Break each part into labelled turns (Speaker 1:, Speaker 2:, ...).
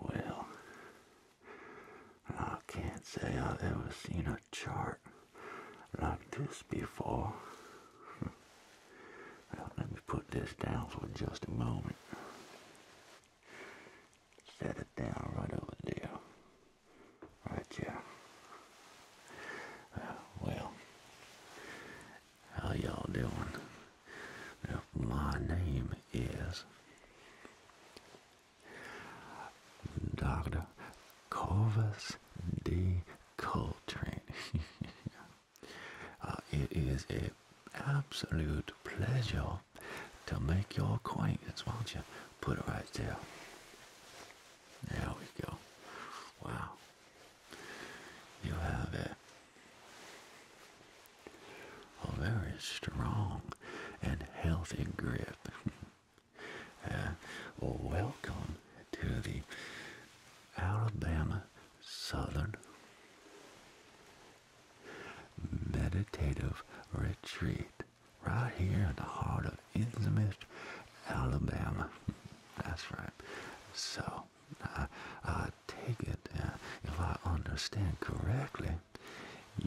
Speaker 1: Well, I can't say I've ever seen a chart like this before. let me put this down for just a moment. Set it down right over there. Right here. Uh, well, how y'all doing? my name is Dr. Corvus D. Coltrane. Uh, it is an absolute pleasure to make your acquaintance. will not you put it right there? There we go. Wow you have a, oh, very strong and healthy grip. Uh, welcome to the Alabama Southern Meditative Retreat, right here in the heart of Islamist, Alabama. That's right. So, I, I take it, uh, if I understand correctly,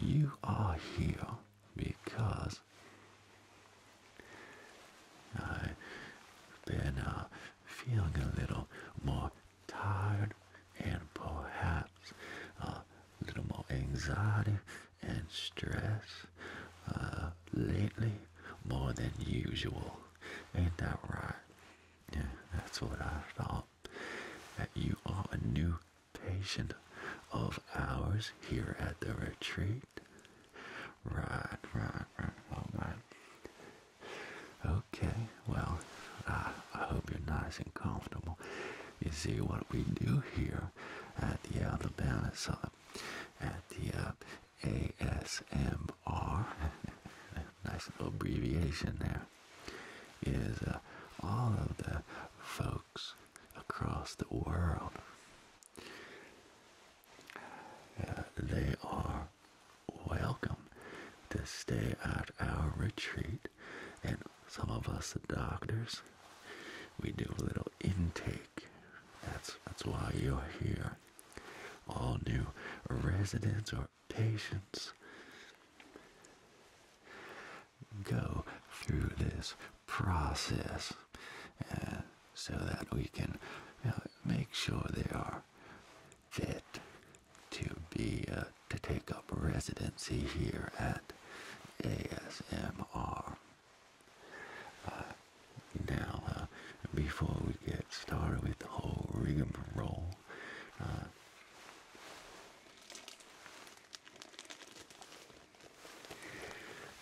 Speaker 1: you are here because I've been uh, feeling a little more tired and perhaps a uh, little more anxiety and stress lately more than usual. Ain't that right? Yeah, that's what I thought. That you are a new patient of ours here at the retreat. Right, right, right. All right. Okay, well, I, hope you're nice and comfortable. You see, what we do here at the Alabama Summit, at the uh, ASMR, nice little abbreviation there, is uh, all of the folks across the world. Uh, they are welcome to stay at our retreat, and some of us, the doctors, we do a little intake. That's that's why you're here. All new residents or patients go through this process so that we can uh, make sure they are fit to be uh, to take up residency here at ASMR. Uh, now, uh, before we get started with the whole rigmarole, uh,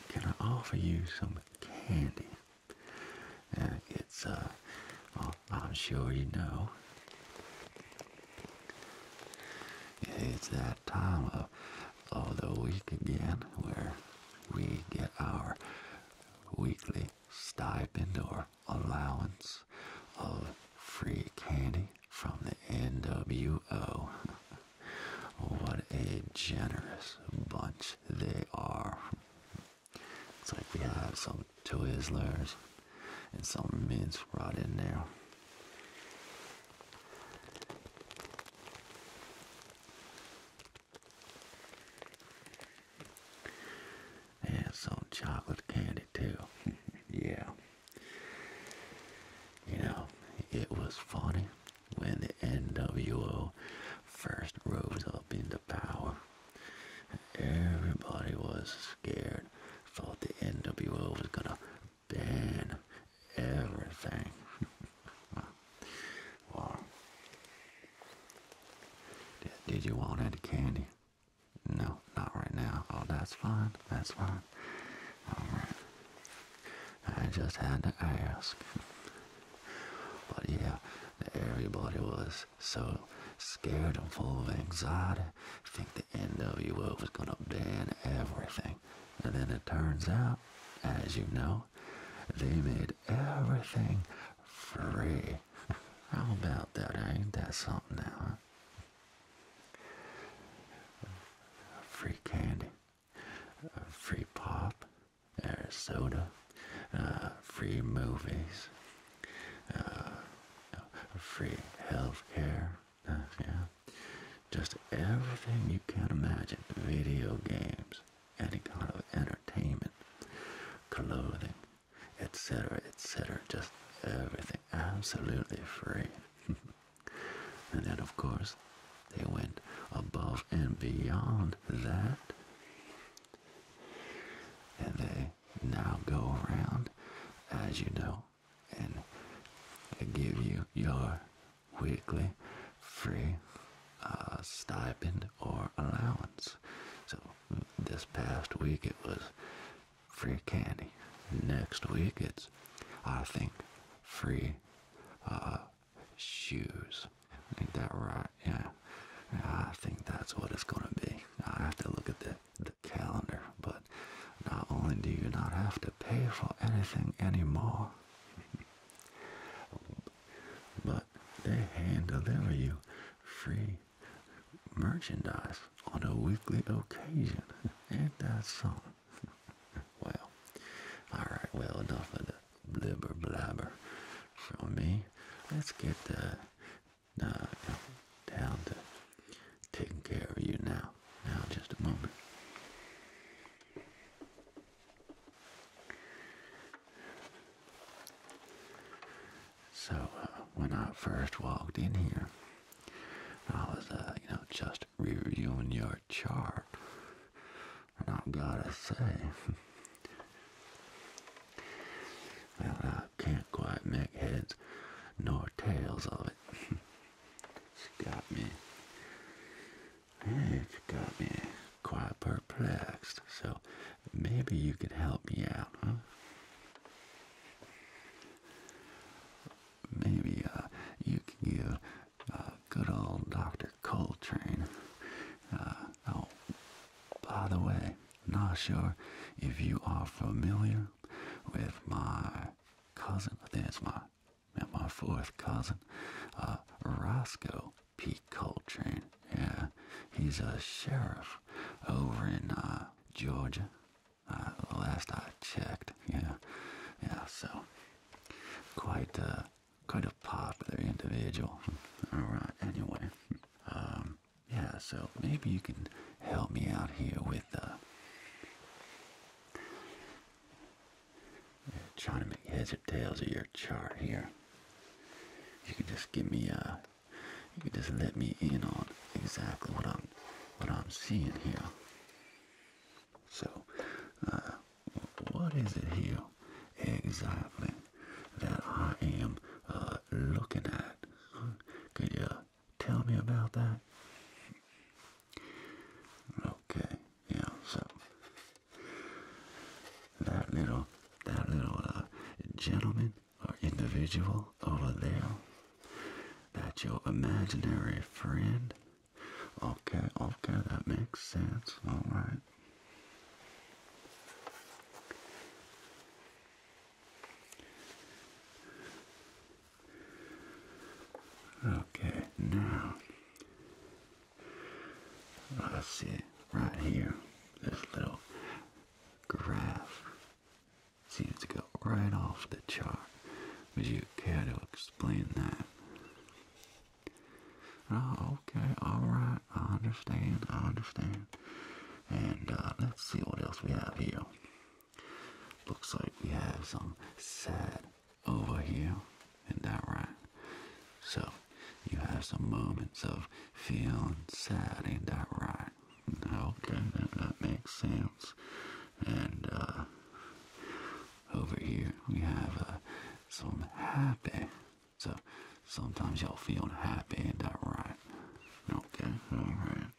Speaker 1: can I offer you some candy? Uh, it's, I'm sure you know. It's that time of, of the week again where we get our weekly stipend or allowance of free candy from the NWO. what a generous bunch they are. It's like we have some Twizzlers and some mints right in there. And some chocolate candy too. yeah. You know, it was funny when the NWO first rose up into power. Everybody was scared, thought the NWO was gonna ban everything. did, you want any candy? No, not right now. Oh, that's fine. That's fine. All right. I just had to ask. But yeah, everybody was so scared and full of anxiety. Think the NWO was gonna ban everything. And then it turns out, as you know, they made everything free. How about that, ain't that something now? Huh? Free candy, free pop, or soda, uh, free movies, uh, free health care, uh, yeah. Just everything you can imagine. Video games any kind of entertainment, clothing, etc., etc., just everything absolutely free. and then, of course, they went above and beyond that. And they now go around, as you know, and give you your weekly free uh, stipend or allowance. So this past week it was free candy. Next week it's, I think, free uh, shoes. Ain't that right? Yeah. I think that's what it's going to be. I have to look at the, the calendar, but not only do you not have to pay for anything anymore, they hand deliver you free merchandise on a weekly occasion. Ain't that something? well, alright, well, enough of the blubber blabber from me. Let's get the, uh, down to taking care of you now. Now, just a moment. So uh, when I first walked in here, I was, uh, you know, just reviewing your chart, and I've gotta say. Well, I can't quite make heads nor tails of it. it's got me. It's got me quite perplexed. So maybe you could help me out, huh? Maybe uh, you can give uh, good old Dr. Coltrane. Uh, oh, by the way, not sure if you are familiar with my cousin. That's my, my fourth cousin, uh, Roscoe Pete Coltrane. Yeah, he's a sheriff over in uh, Georgia. Uh, last I checked. Yeah, yeah. So quite a uh, quite a popular individual. All right. Anyway, um, yeah. So maybe you can help me out here with uh, yeah, trying to make heads or tails of your chart here you can just give me uh, you can just let me in on exactly what I'm what I'm seeing here. So, uh, what is it here exactly that I am uh, looking at? Could you tell me about that? Okay, yeah. So, that little, that little uh, gentleman or individual over there, that's your imaginary friend. Okay, okay, that makes sense. All right. Okay, now Let's see, right here, this little graph seems to go right off the chart. Would you care to explain that? Oh, okay, alright, I understand, I understand. And uh, let's see what else we have here. Looks like we have some sad over here. Isn't that right? So you have some moments of feeling sad, and that right? Okay, that, makes sense. And uh, over here we have uh, some happy. So sometimes y'all feel happy, and that right? Okay, alright.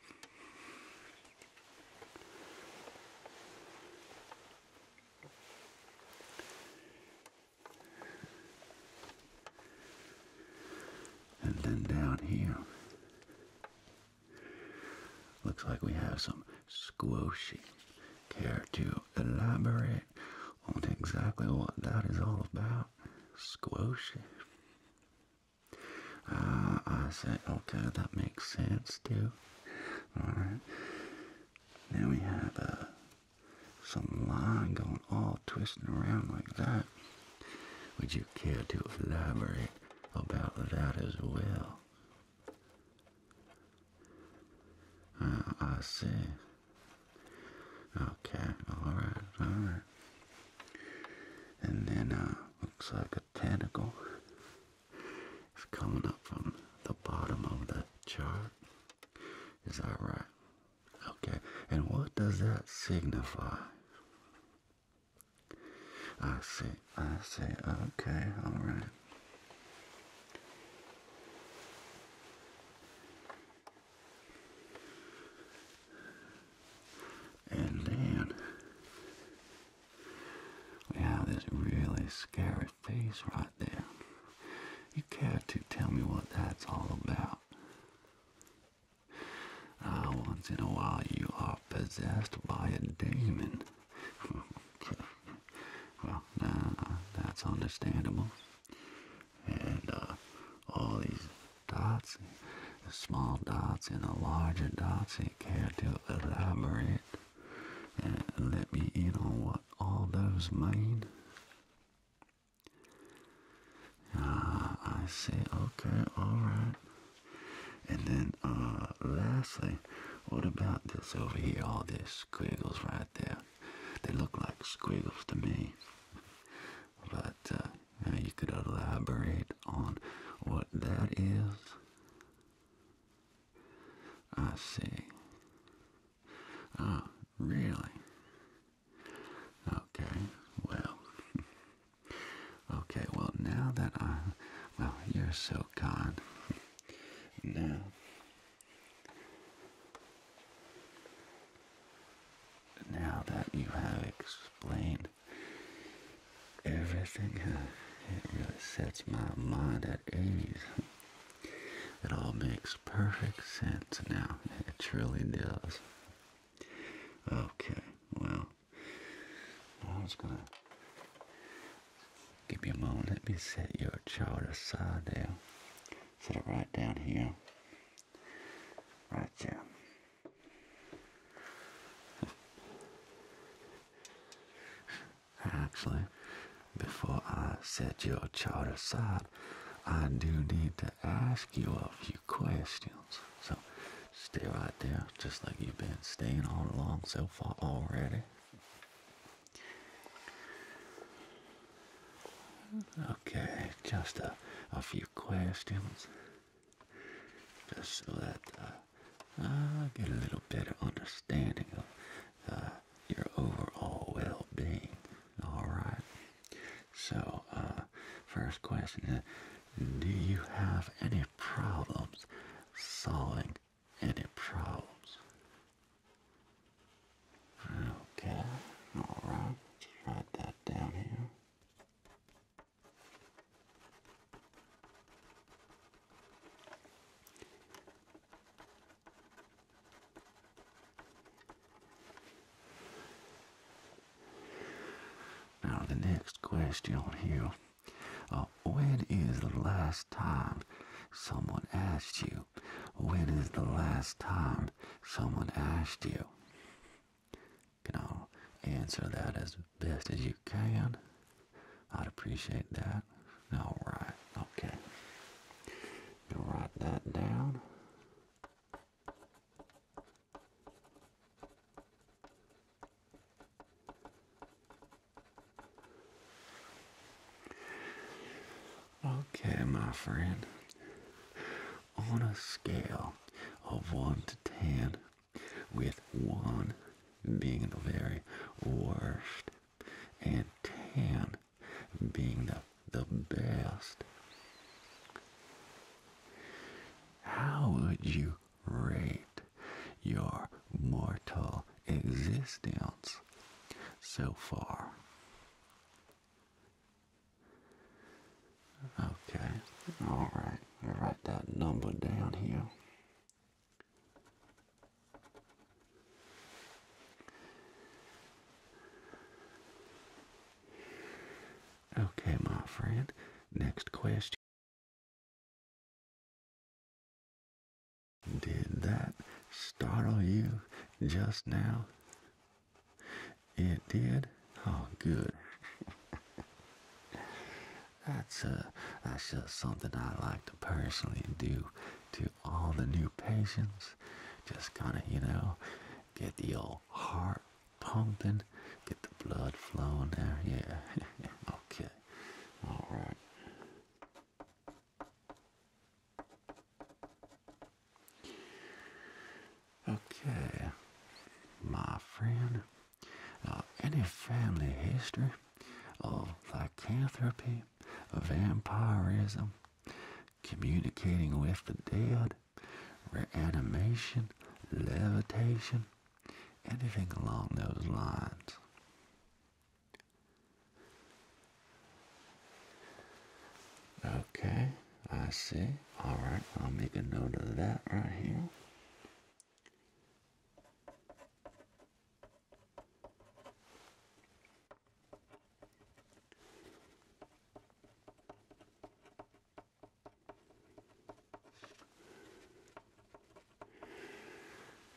Speaker 1: And then down here, looks like we have some squoshy. Care to elaborate on exactly what that is all about? Squoshy. Uh, ah, I said, okay, that makes sense too. Alright. Now we have a some line going all twisting around like that. Would you care to elaborate about that as well? Ah, I see. Okay, alright, alright. And then, uh, looks like a tentacle is coming up from the bottom of the chart. Is that right? Okay, and what does that signify? I see, I see, okay, all right. And then we have this really scary face right you care to tell me what that's all about? Ah, once in a while you are possessed by a demon. Well, nah, that's understandable. And uh, all these dots, the small dots and the larger dots, you care to elaborate and let me in on what all those mean? Uh, I see. Okay, all right. And then, uh, lastly, what about this over here? All these squiggles right there. They look like squiggles to me. But uh, you could elaborate on what that is. I see. Oh, really? Okay, well. Okay, well, now that I. Well, you're so gone. Now. Now that you have explained everything, it really sets my mind at ease. It all makes perfect sense now. It truly does. Okay, well, I was gonna give you a moment. Let me set your chart aside there. Set it right down here. Right there. Actually, before I set your chart aside, I do need to ask you a few questions. So stay right there, just like you've been staying all along so far already. Okay, just a, a few questions. Just so that uh, I get a little better understanding of uh, your overall well-being. All right. So, uh, first question is, do you have any problems solving any problems? Okay, all write that down here. Now, the next question here. Uh, when is the last time someone asked you? When is the last time someone asked you? can I answer that as best as you can. I'd appreciate that. All right, okay. you write that down. Okay, my friend. On a scale of 1 to 10, with 1 being the very worst, and 10 being the, the best. How would you rate your mortal existence so far? Okay, all right, write that number down here. Okay, my friend. Next question. Did that startle you just now? It did? Oh, good. that's, uh, that's just something I like to personally do to all the new patients. Just kind of, you know, get the old heart pumping, get the blood flowing there. Yeah, okay, all right. Okay, my friend, uh, any family history of lycanthropy, vampirism, communicating with the dead, reanimation, levitation, anything along those lines. Okay, I see. All right, I'll make a note of that right here.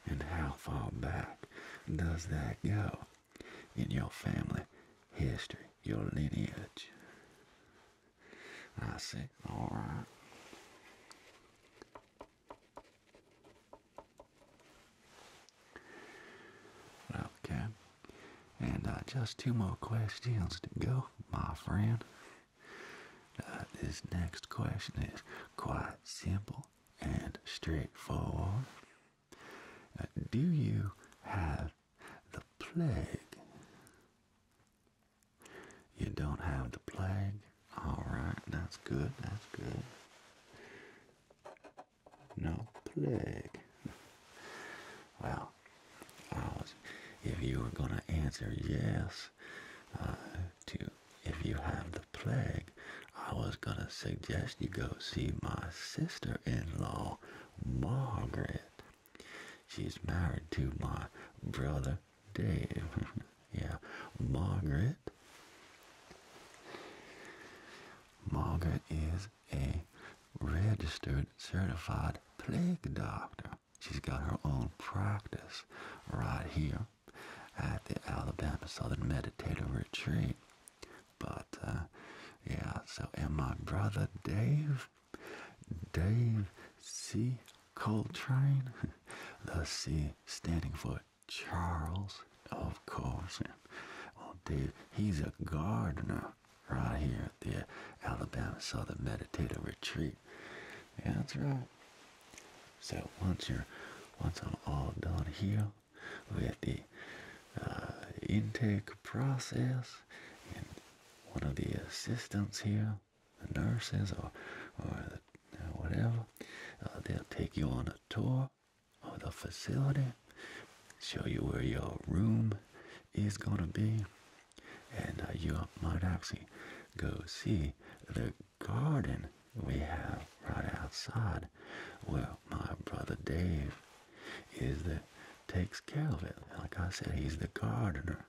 Speaker 1: And how far back does that go in your family history, your lineage? I see, alright. Okay. And uh, just two more questions to go, my friend. Uh, this next question is quite simple and straightforward. Uh, do you have the plague? You don't have the plague? Alright, that's good, that's good. No plague. Well, was, if you were going to answer yes uh, to if you have the plague, I was going to suggest you go see my sister-in-law, Margaret. She's married to my brother, Dave. yeah, Margaret. Margaret is a registered certified plague doctor. She's got her own practice right here at the Alabama Southern Meditative Retreat. But uh, yeah, so and my brother Dave, Dave C. Coltrane, the C standing for Charles, of course. Well, oh, dude, he's a gardener right here at the Alabama Southern Meditative Retreat. Yeah, that's right. So once you're, once I'm all done here with the uh, intake process, and one of the assistants here, the nurses or or, the, uh, whatever, uh, they'll take you on a tour of the facility, show you where your room is going to be, and uh, you might actually go see the garden we have right outside. Well, my brother Dave is the takes care of it. Like I said, he's the gardener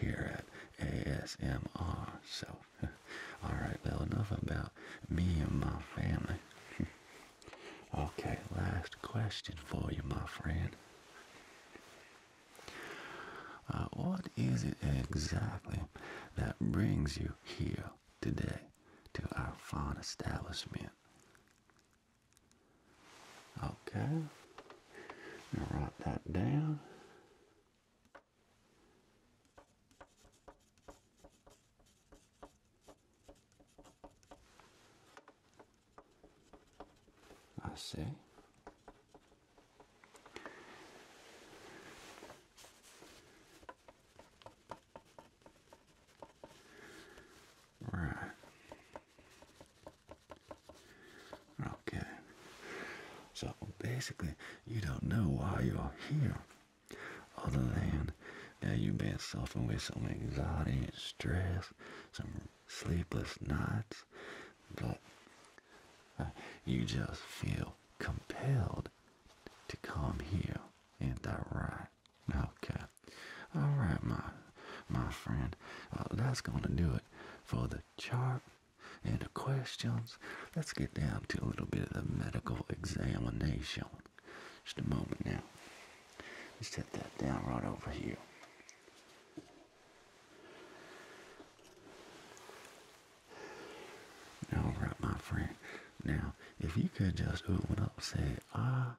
Speaker 1: here at ASMR. So, all right, well, enough about me and my family. Okay, last question for you, my friend. Uh, what is it exactly that brings you here today to our fine establishment? Okay, write that down. I see. Right. Okay. So basically, you don't know why you're here, other than yeah, you may have suffered with some anxiety and stress, some sleepless nights, but uh, you just feel compelled to come here. Ain't that right? Okay. All right, my my friend. Uh, that's gonna do it for the chart and the questions. Let's get down to a little bit of the medical examination. Just a moment now. Let's set that down right over here. All right, my friend. Now, if you could just open up, say ah.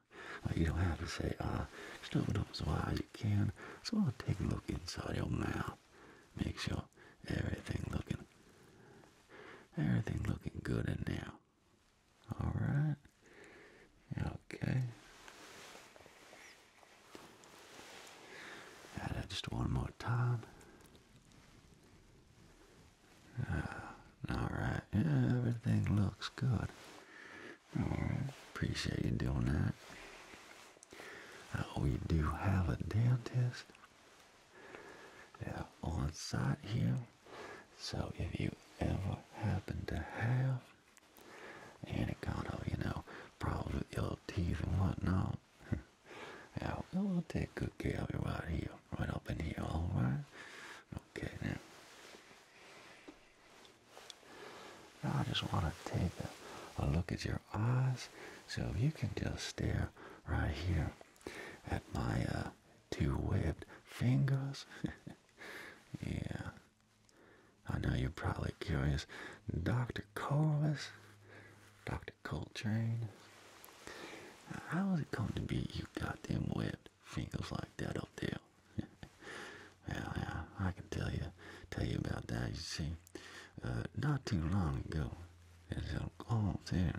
Speaker 1: you don't have to say ah. Just open up as wide as you can. So I'll take a look inside your mouth. Make sure everything looking, everything looking good in there. All right. Okay. Add just one more time. Ah, all right. Yeah, everything looks good. All right. Appreciate you doing that. we oh, do have a dentist. Yeah, on site here. So if you ever happen to have any kind of, you know, problems with your teeth and whatnot, yeah, we'll take good care of you right here, right up in here, alright? Okay, now. I just want to take a, look at your eyes, so you can just stare right here at my uh, two webbed fingers. yeah. I know you're probably curious. Dr. Corvus? Dr. Coltrane? How is it going to be you got them webbed fingers like that up there? Yeah, yeah, I can tell you, tell you about that. You see, uh, not too long ago, there's a call there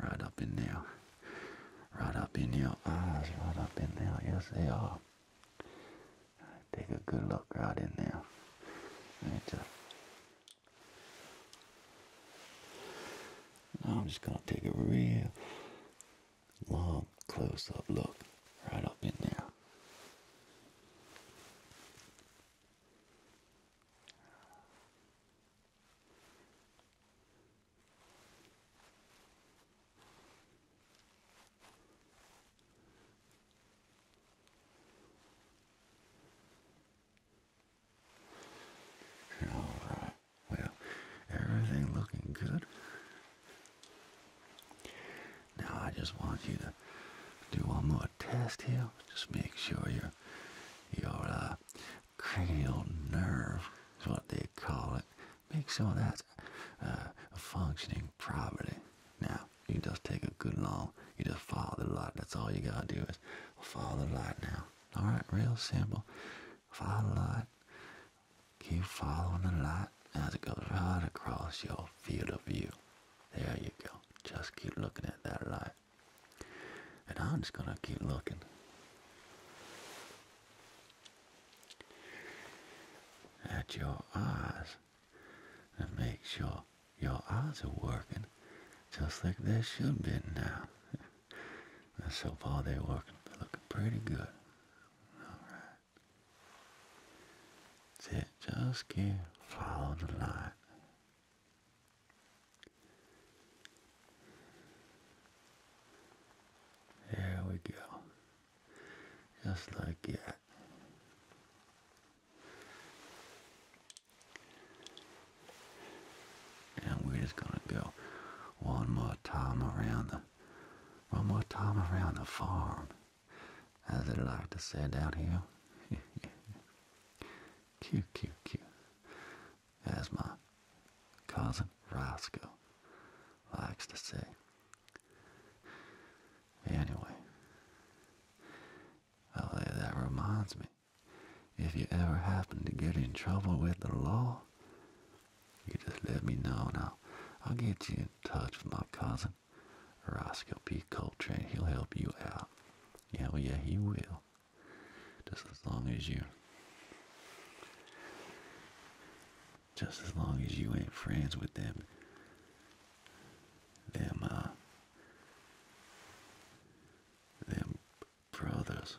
Speaker 1: Right up in there, Right up in your eyes. Right up in there. Yes, they are. take a good look right in there. I'm just going to take a real long close-up look right up in there. All right. Well, everything looking good. Now I just want you to do one more test here. Just make sure you're your uh, cranial nerve is what they call it. Makes all that uh, functioning properly. Now, you just take a good long, you just follow the light. That's all you gotta do is follow the light now. Alright, real simple. Follow the light. Keep following the light as it goes right across your field of view. There you go. Just keep looking at that light. And I'm just going to keep looking. At your eyes and make sure your eyes are working just like they should be now. and so far they're working, they're looking pretty good. Alright. That's it. Just keep follow the light. There we go. Just like that. And we're just gonna go one more time around the one more time around the farm. As they like to say down here. Cute, cute, cute. As my cousin Roscoe likes to say. Anyway. Oh, that reminds me. If you ever happen to get in trouble with the law, you just let me know now. I'll get you in touch with my cousin, Roscoe P. Coltrane. He'll help you out. Yeah, yeah, he will. Just as long as you just as long as you ain't friends with them them uh, them brothers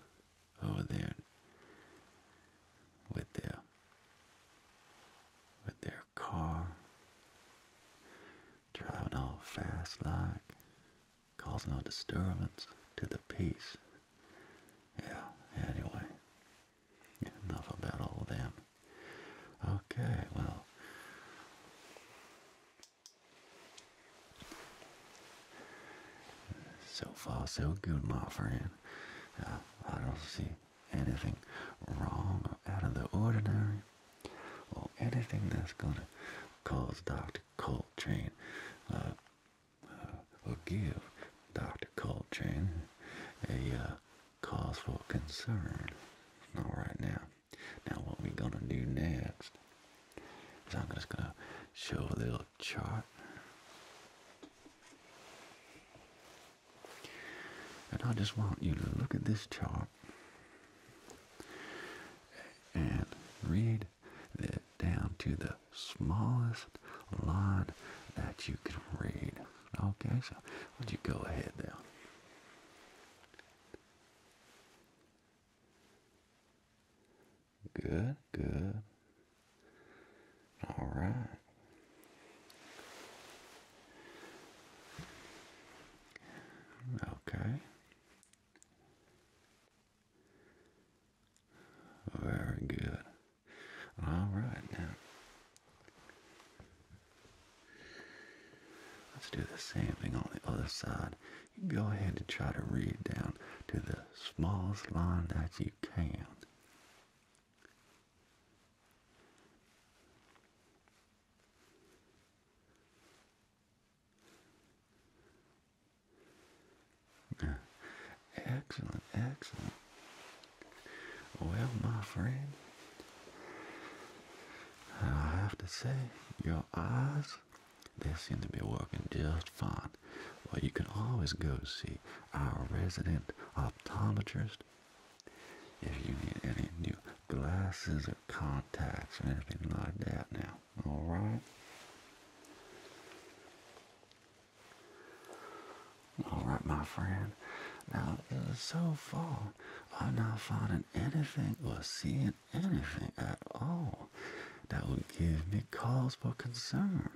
Speaker 1: over there with their with their car driving all fast like cause no disturbance to the peace. Yeah, anyway. Enough about all them. Okay, well. So far, so good, my friend. Uh, I don't see anything wrong or out of the ordinary or anything that's going to cause doctor. Dr. train, will give Dr. train a uh, cause for concern. All right now. Now what we're gonna do next is I'm just gonna show a little chart. And I just want you to look at this chart and read weed down to the smallest line that you can read. Okay, so would you go ahead there? Good, good. All right. Okay. Very good. All right, now let's do the same thing on the other side. go ahead and try to read down to the smallest line that you can. Excellent, excellent. Well, my friend, I have to say, your eyes, they seem to be working just fine. Well, you can always go see our resident optometrist if you need any new glasses contacts and everything like that now. Alright? Alright, my friend. Now, uh, so far, I'm not finding anything or seeing anything at all that would give me cause for concern.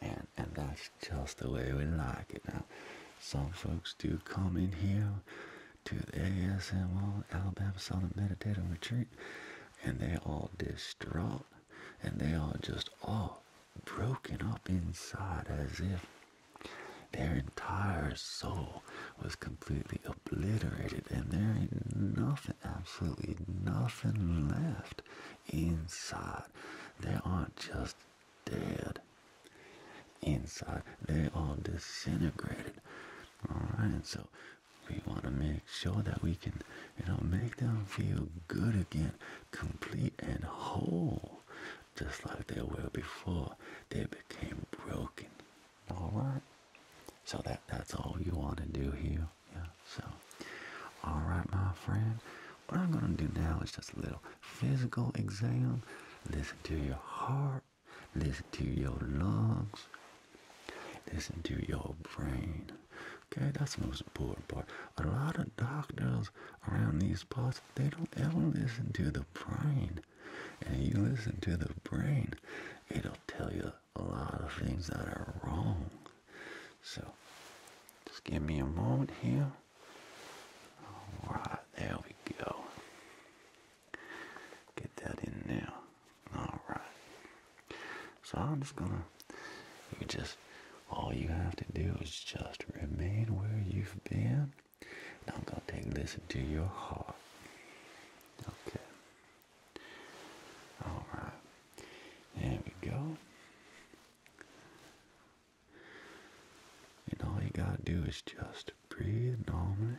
Speaker 1: And, and that's just the way we like it. Now, some folks do come in here to the ASML Alabama saw them meditate on Retreat, and they all distraught, and they all just all broken up inside as if their entire soul was completely obliterated, and there ain't nothing, absolutely nothing left inside. They aren't just dead inside, they all disintegrated. All right, and so we want to make sure that we can you know make them feel good again complete and whole just like they were before they became broken all right so that that's all you want to do here yeah so all right my friend what i'm going to do now is just a little physical exam listen to your heart listen to your lungs, listen to your brain. Okay, that's the most important part. A lot of doctors around these parts, they don't ever listen to the brain. And if you listen to the brain, it'll tell you a lot of things that are wrong. So, just give me a moment here. Alright, there we go. Get that in there. Alright. So I'm just gonna you just all you have to do is just remain where you've been. And I'm gonna take listen to your heart. Okay. Alright. There we go. And all you gotta do is just breathe normally.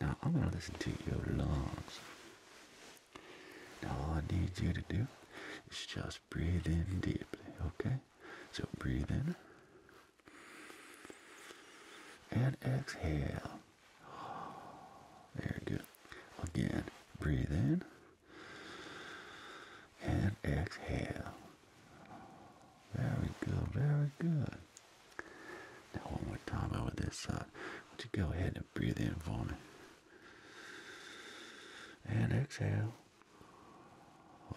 Speaker 1: Now I'm going to listen to your lungs. Now all I need you to do is just breathe in deeply, okay? So breathe in and exhale. Very good. Again, breathe in and exhale. Very good, very good. Now one more time over this side. Would you go ahead and breathe in for me? And exhale.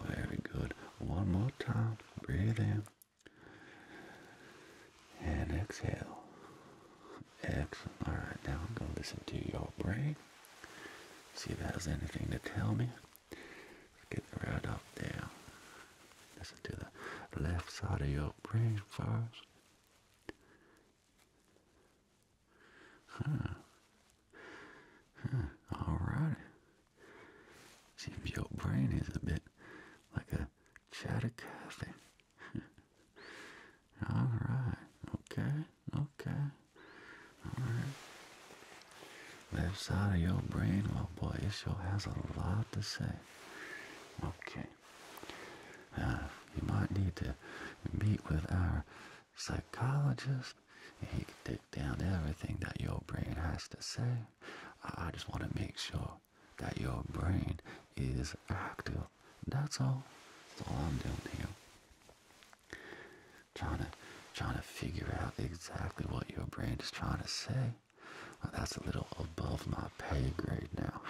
Speaker 1: Very good. One more time. Breathe in. And exhale. Excellent. Alright, now I'm going to listen to your brain. See if it has anything to tell me. Let's get right up there. Listen to the left side of your brain first. Huh. Huh. Alright. Seems your brain is a bit like a chatter coffee. Alright. Okay. Okay. Alright. Left side of your brain, well boy, it sure has a lot to say. Okay. Uh, you might need to meet with our psychologist. He can take down everything that your brain has to say. I just want to make sure that your brain is active. That's all. That's all I'm doing here. Trying to, trying to figure out exactly what your brain is trying to say that's a little above my pay grade now.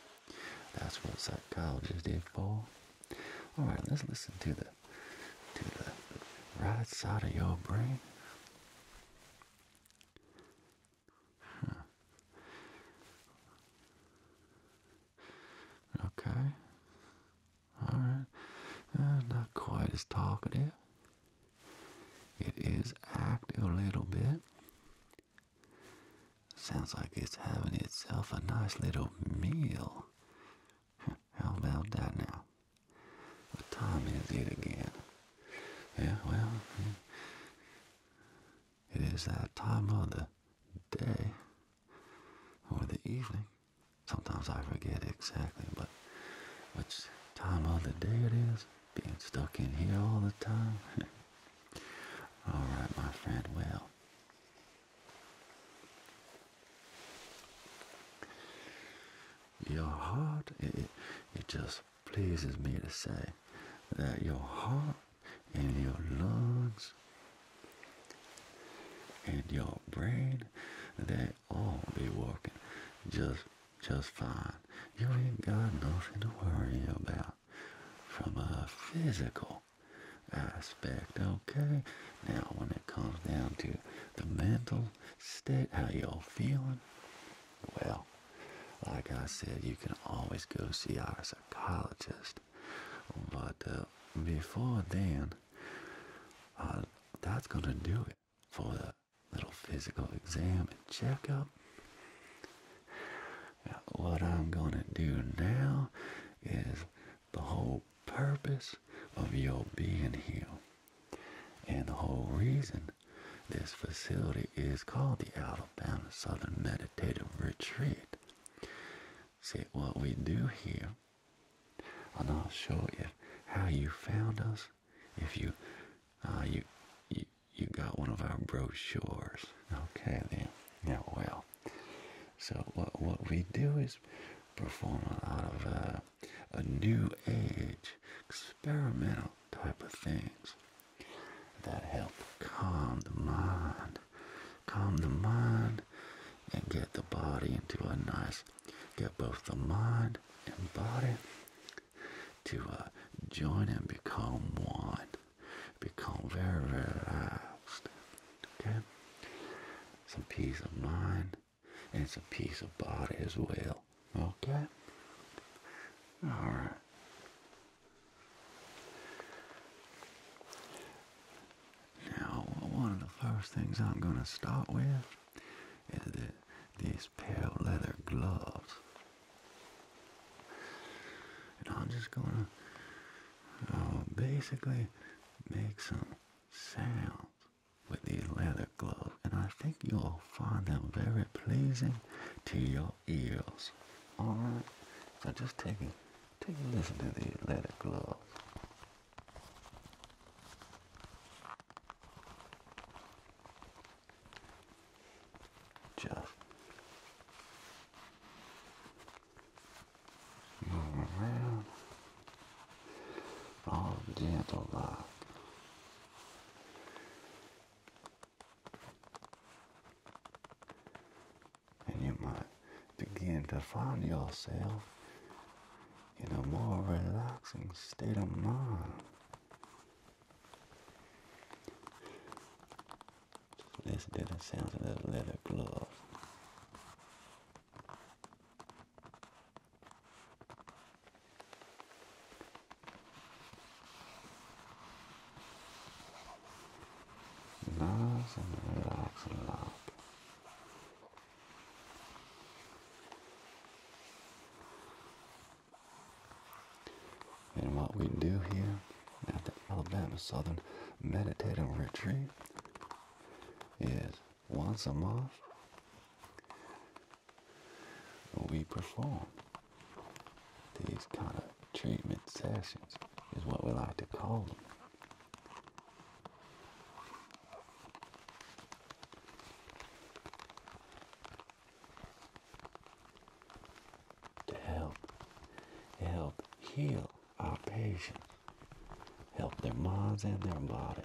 Speaker 1: that's what psychologists do, for. All right, let's listen to the to the right side of your brain. Okay. All right. Uh, not quite as talkative. It is active a little bit. Sounds like it's having itself a nice little meal. How about that now? What time is it again? Yeah, well, it is that time of the day or the evening. Sometimes I forget exactly, but which time of the day it is being stuck in here all the time. all right, my friend. Well, your heart, it, it just pleases me to say that your heart and your lungs and your brain, they all be working just just fine. You ain't got nothing to worry about from a physical aspect, okay? Now, when it comes down to the mental state, how y'all feeling, well, like I said, you can always go see our psychologist. But uh, before then, uh, that's going to do it for the little physical exam and checkup. what I'm going to do now is the whole purpose of your being here. And the whole reason this facility is called the Alabama Southern Meditative Retreat. See, what we do here, and i will show you how you found us, if you, uh, you, you you got one of our brochures. Okay, then. Yeah, well. So what what we do is perform a lot of uh, a new age, experimental type of things that help calm the mind, calm the mind, and get the body into a nice, get both the mind and body to uh, join and become one. Become very, relaxed. Okay? Some peace of mind and some peace of body as well. Okay? Alright. Now, one of the first things I'm going to start with and these pale leather gloves. And I'm just gonna uh, basically make some sounds with these leather gloves, and I think you'll find them very pleasing to your ears. All right, so just take a take a listen to these leather gloves. Just moving around. All gentle love. And you might begin to find yourself in a more relaxing state of mind. Let's do the sounds of the leather glove. Nice and relax and and what we do here at the Alabama Southern Meditative Retreat is once a month we perform these kind of treatment sessions is what we like to call them to help help heal our patients, help their minds and their bodies.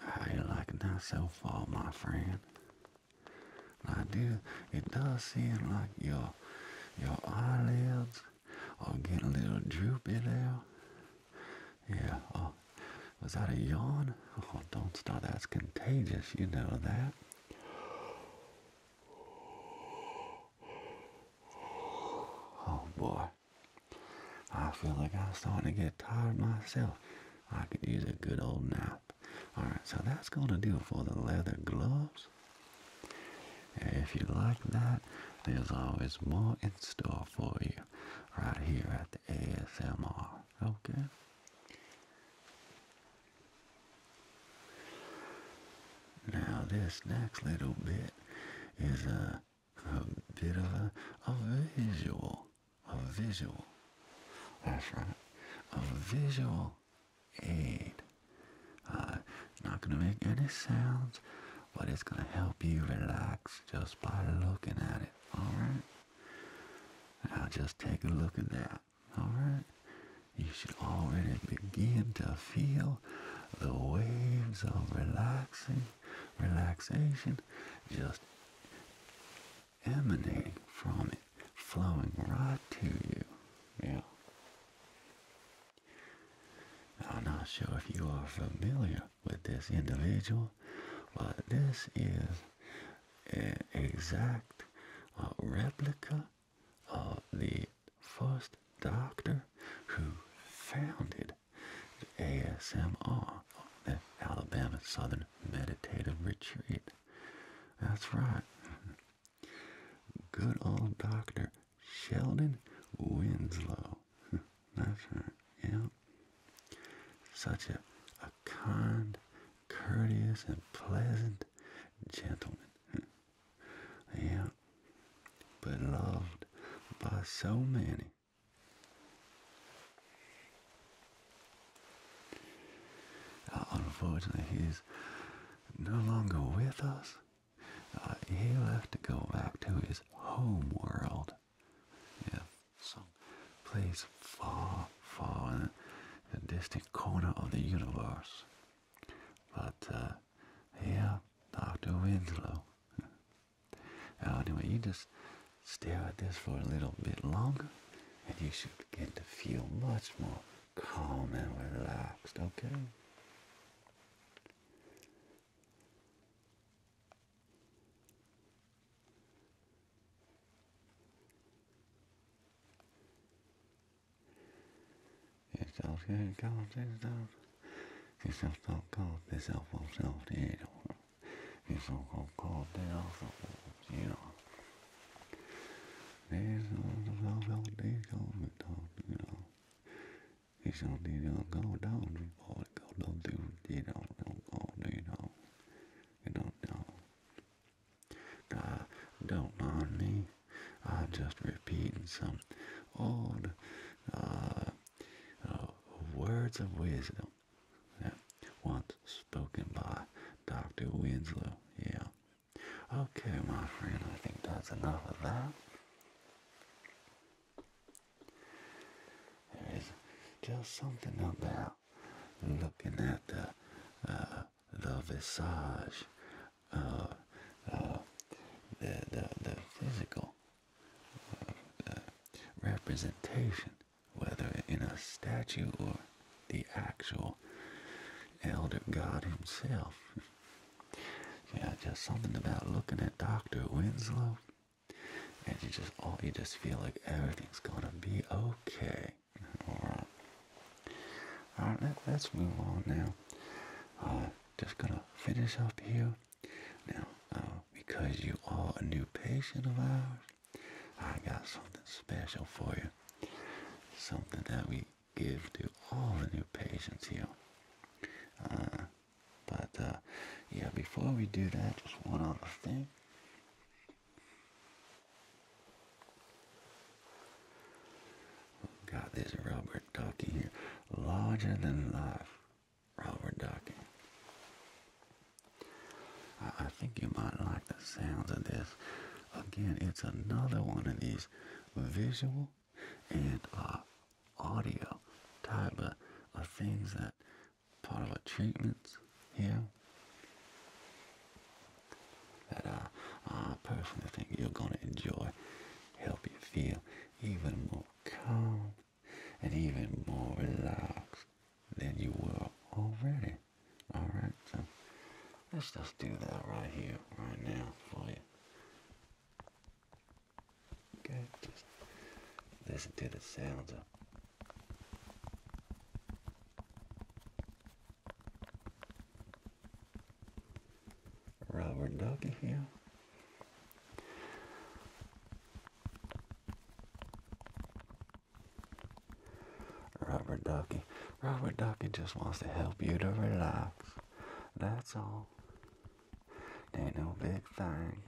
Speaker 1: How you liking that so far, my friend? I do. It does seem like your your eyelids are getting a little droopy there. Yeah. Oh, was that a yawn? Oh, don't start. That's contagious. You know that. Oh boy. I feel like I'm starting to get tired myself. I could use a good old nap. Alright, so that's going to do it for the leather gloves. If you like that, there's always more in store for you right here at the ASMR. Okay? Now, this next little bit is a uh, a bit of a, visual, a visual. That's right, a visual aid. Uh, not gonna make any sounds, but it's gonna help you relax just by looking at it. All right. Now just take a look at that. All right. You should already begin to feel the waves of relaxing relaxation just emanating from it, flowing right to you. Yeah. I'm not sure if you are familiar with this individual, but this is an exact replica of the first doctor who founded the ASMR, the Alabama Southern Meditative Retreat. That's right. Good old Dr. Sheldon Winslow. That's right, yeah. Such a, a kind, courteous, and pleasant gentleman. yeah. Beloved by so many. Uh, unfortunately, he's no longer with us. Uh, he'll have to go back to his home world. Yeah, place far, far in the distant corner of the universe. But, uh, Dr. Winslow. Uh, anyway, you just stare at this for a little bit longer, and you should begin to feel much more calm and relaxed, okay? It's okay, calm things down. Yourself so cold, this self will self the idol. You're so cold, cold, they also will, you know. There's all the love out there, cold, the top, you know. It's all the don't go down, we all go down, dude, you know, don't go, you know. You don't know. God, don't mind me. I'm just repeating some old, uh, uh, words of wisdom that once spoken by Dr. Winslow. Yeah. Okay, my friend, I think that's enough of that. There is just something about looking at the uh, the visage uh, the the physical representation, whether in a statue or the actual elder god himself. yeah, just something about looking at Dr. Winslow and you just all oh, you just feel like everything's gonna be okay. Alright. Alright, let, us move on now. Uh, just gonna finish up here now, uh, because you are a new patient of ours, I got something special for you. Something that we give to all the new patients here. Uh, but, uh, yeah, before we do that, just one other thing. We've this rubber ducky here, larger than life while we're docking. I, think you might like the sounds of this. Again, it's another one of these visual and uh, audio type of, things that part of the treatments here that I, I personally think you're going to enjoy, help you feel even more calm and even more relaxed than you were already. Alright, so let's just do that right here, right now for you. Okay, just listen to the sounds of rubber ducky here. Robert Ducky. Robert Ducky just wants to help you to relax. That's all. Ain't no big thing.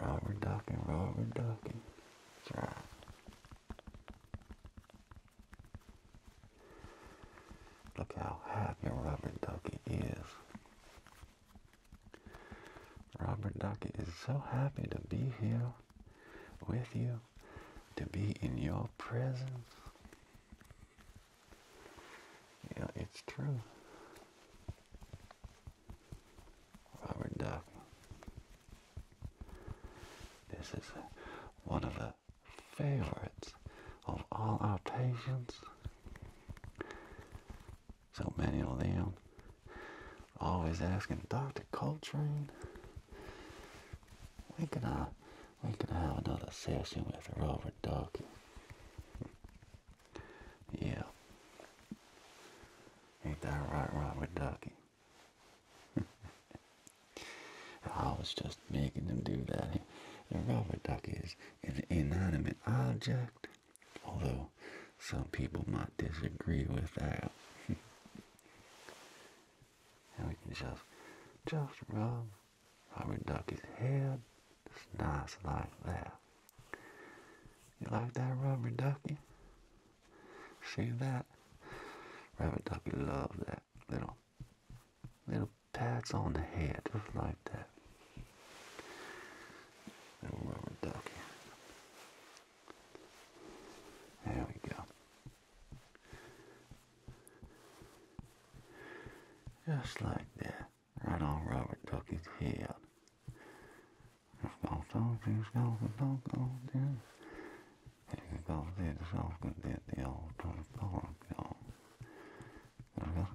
Speaker 1: Robert Ducky, Robert Ducky. That's right. Look how happy Robert Ducky is. Robert Ducky is so happy to be here with you, to be in your presence. Yeah, it's true. Robert Ducky. This is one of the favorites of all our patients. So many of them always asking Dr. Coltrane, we can uh, we can have another session with Robert ducky." Yeah. Ain't that right, Robert Ducky? I was just making them do that. And Robert Ducky is an inanimate object, although some people might disagree with that. and we can just, just rub Robert duckie's head, just nice like that. You like that, rubber Ducky? See that? Rubber Ducky loves that little, little pads on the head, just like that. rubber ducky. There we go. Just like that, right on Robert Ducky's head. Let's go, Donkey, let's go, Donkey, Donkey. Here we go, this is all good, the old Tony Pollard, Alright.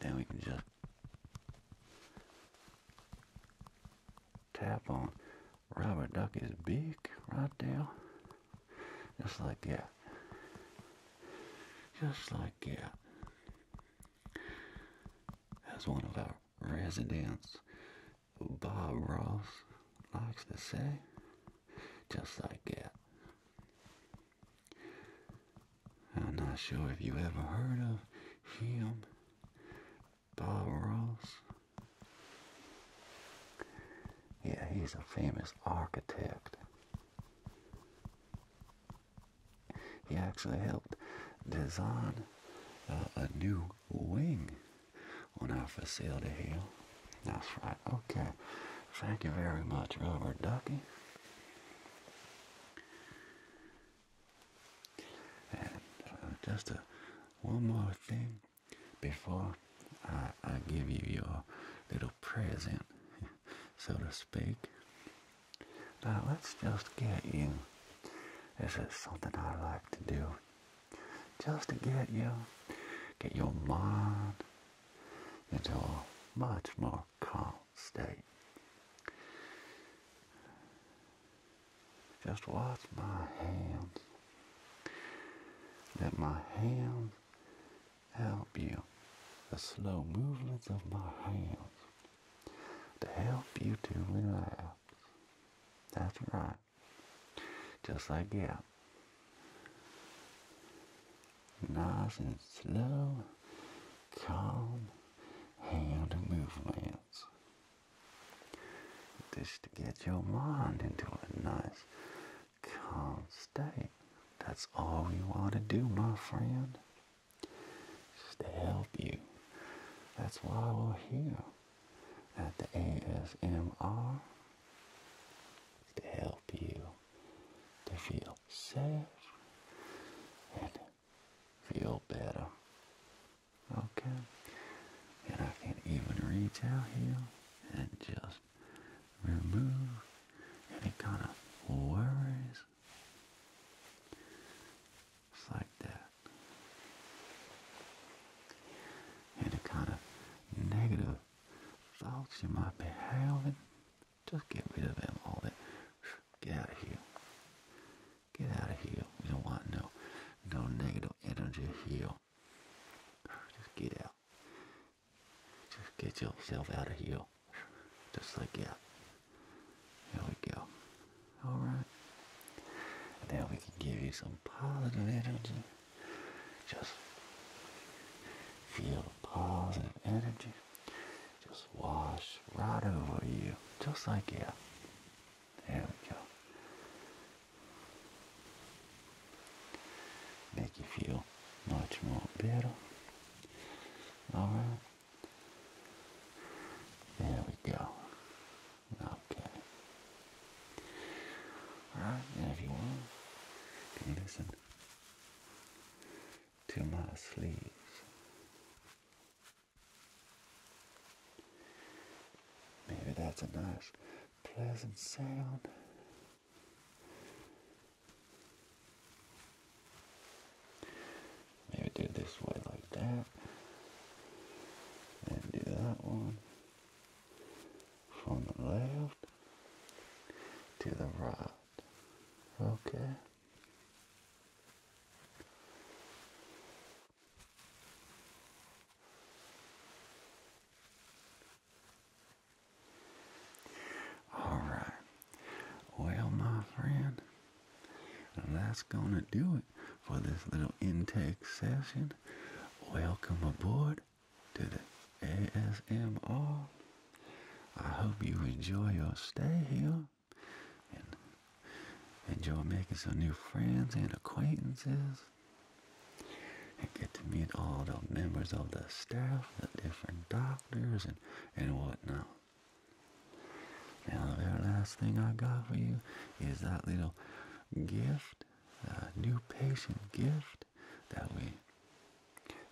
Speaker 1: Then we can just Tap on Robert Ducky's beak right there. Just like that. Just like that. As one of our residents, Bob Ross, likes to say, just like that. I'm not sure if you ever heard of him, Bob Ross. Yeah, he's a famous architect. He actually helped design uh, a new wing on our facility here. That's right. Okay. Thank you very much, Robert Ducky. And uh, just a, uh, one more thing before I, I give you your little present, so to speak. Now let's just get you. This is something I like to do. Just to get you, get your mind into a much more calm state. Just watch my hands. Let my hands help you. The slow movements of my hands to help you to relax. That's right. Just like that. Nice and slow, calm hand movements. just to get your mind into a nice calm state. That's all we want to do, my friend. Just to help you. That's why we're here at the ASMR. To help you to feel safe feel better. Okay, and I can even reach out here and just remove any kind of worries. It's like that. And Any kind of negative thoughts you might be having, just get rid of them all Get out of here. Get out of here. We don't want no no negative energy here. Just get out. Just get yourself out of here. Just like that. There we go. Alright. Now we can give you some positive energy. Just feel positive energy. Just wash right over you, just like yeah. There we go. Make you feel much more better. Alright. There we go. Okay. Alright, now if you want, you listen to my sleeves Maybe that's a nice, pleasant sound. Maybe do this way like that. And do that one from the left to the right. Okay. All right. Well, my friend, that's going to do it for this little intake session. Welcome aboard to the ASMR. I hope you enjoy your stay here and enjoy making some new friends and acquaintances and get to meet all the members of the staff, the different doctors and, and whatnot. Now the very last thing I got for you is that little gift, a new patient gift that we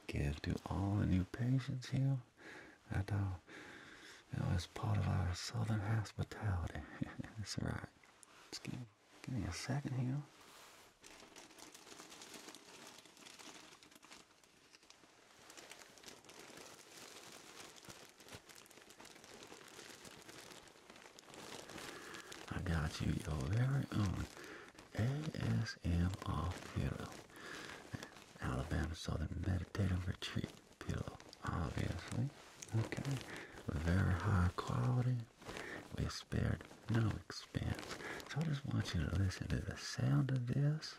Speaker 1: give to all the new patients here I know. You know, part of our southern hospitality. That's right. give, me a second here. I got you your very own ASMR Theater, Alabama Southern Meditative Retreat. Pillow, obviously. Okay, very high quality. We spared no expense. So I just want you to listen to the sound of this,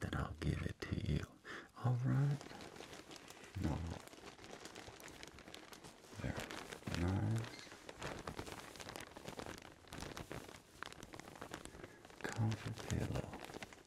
Speaker 1: then I'll give it to you. All right? Very nice. Comfort pillow.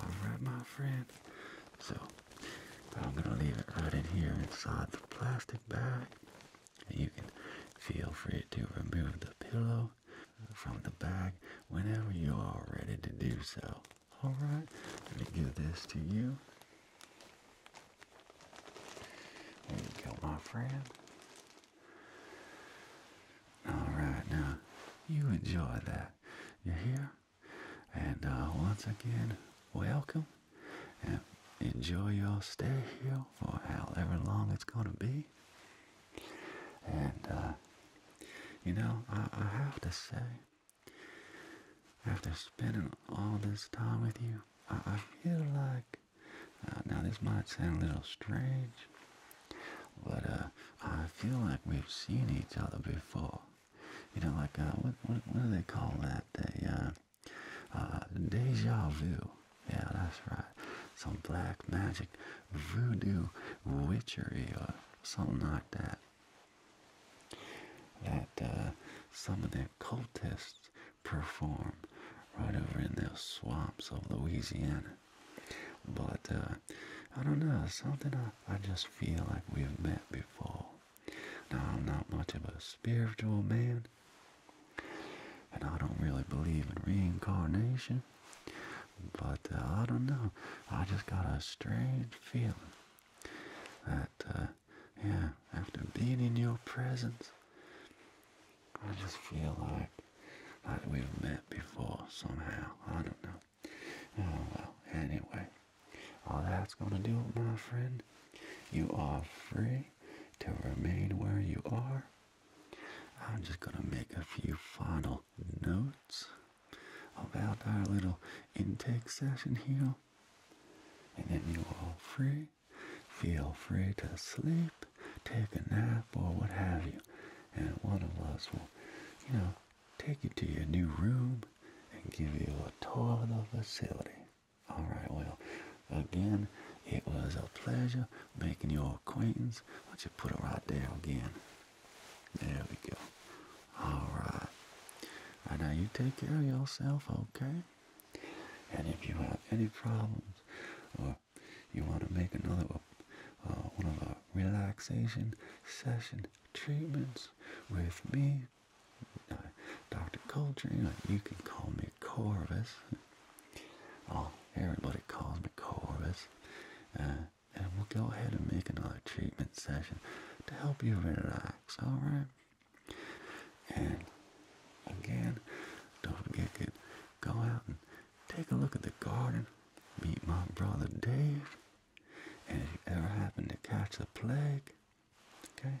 Speaker 1: Alright, my friend. So, I'm going to leave it right in here inside the plastic bag. You can feel free to remove the pillow from the bag whenever you are ready to do so. Alright, let me give this to you. There you go, my friend. Alright, now you enjoy that. You're here. And uh, once again, welcome. And enjoy your stay here for however long it's going to be. And, uh, you know, I have to say, after spending all this time with you, I, feel like uh, now this might sound a little strange, but uh, I feel like we've seen each other before. You know, like uh, what, what do they call that? They uh, uh, deja vu. Yeah, that's right. Some black magic, voodoo, witchery, or something like that. That uh, some of the cultists perform right over in the swamps of Louisiana. But uh, I don't know, something I, I just feel like we've met before. Now, I'm not much of a spiritual man, and I don't really believe in reincarnation, but uh, I don't know, I just got a strange feeling that uh, yeah, after being in your presence, I just feel like like we've met before somehow. I don't know. Oh well. Anyway, all that's gonna do it, my friend. You are free to remain where you are. I'm just gonna make a few final notes about our little intake session here. And then you are all free Feel free to sleep, take a nap, or what have you. And one of us will, you know, take you to your new room and give you a tour of the facility. All right, well, again, it was a pleasure making your acquaintance. Why don't you put it right there again? There we go. All right. All right, now you take care of yourself, okay? And if you have any problems or you want to make another uh, one of our relaxation session treatments with me, uh, Dr. Coltrane, uh, you can call me Corvus. Oh, everybody calls me Corvus. Uh, and we'll go ahead and make another treatment session to help you relax, alright? And again, don't forget, to go out and take a look at the garden. Meet my brother Dave. And if you ever happen to catch the plague, okay?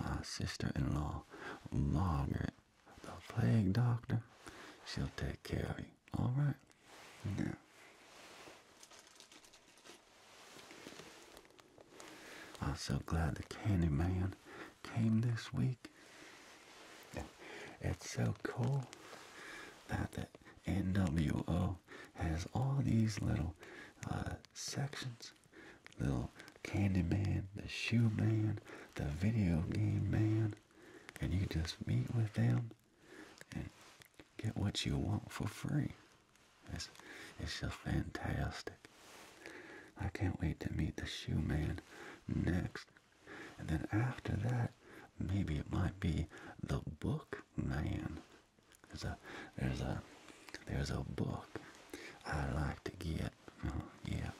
Speaker 1: My sister-in-law, Margaret, the plague doctor, she'll take care of you. All right? Now, I'm so glad the Candy Man came this week. It's so cool that the NWO has all these little uh, sections. Little Candy Man, the Shoe Man, the Video Game Man. And you just meet with them and get what you want for free. It's, it's just fantastic. I can't wait to meet the shoe man next. And then after that, maybe it might be the book man. There's a there's a there's a book I like to get. Oh, yeah.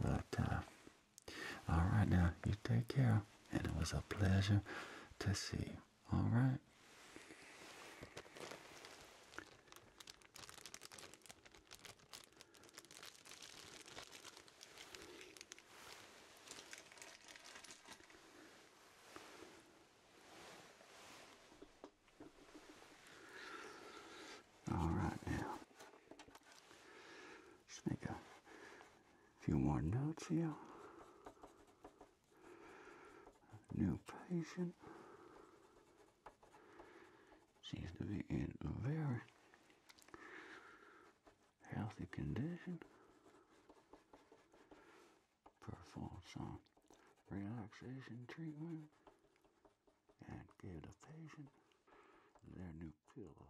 Speaker 1: But uh, all right now, you take care, and it was a pleasure to see you. All right. All right, now let make a few more notes here. New patient seems to be in very healthy condition. Performed some relaxation treatment and give the patient their new pillow.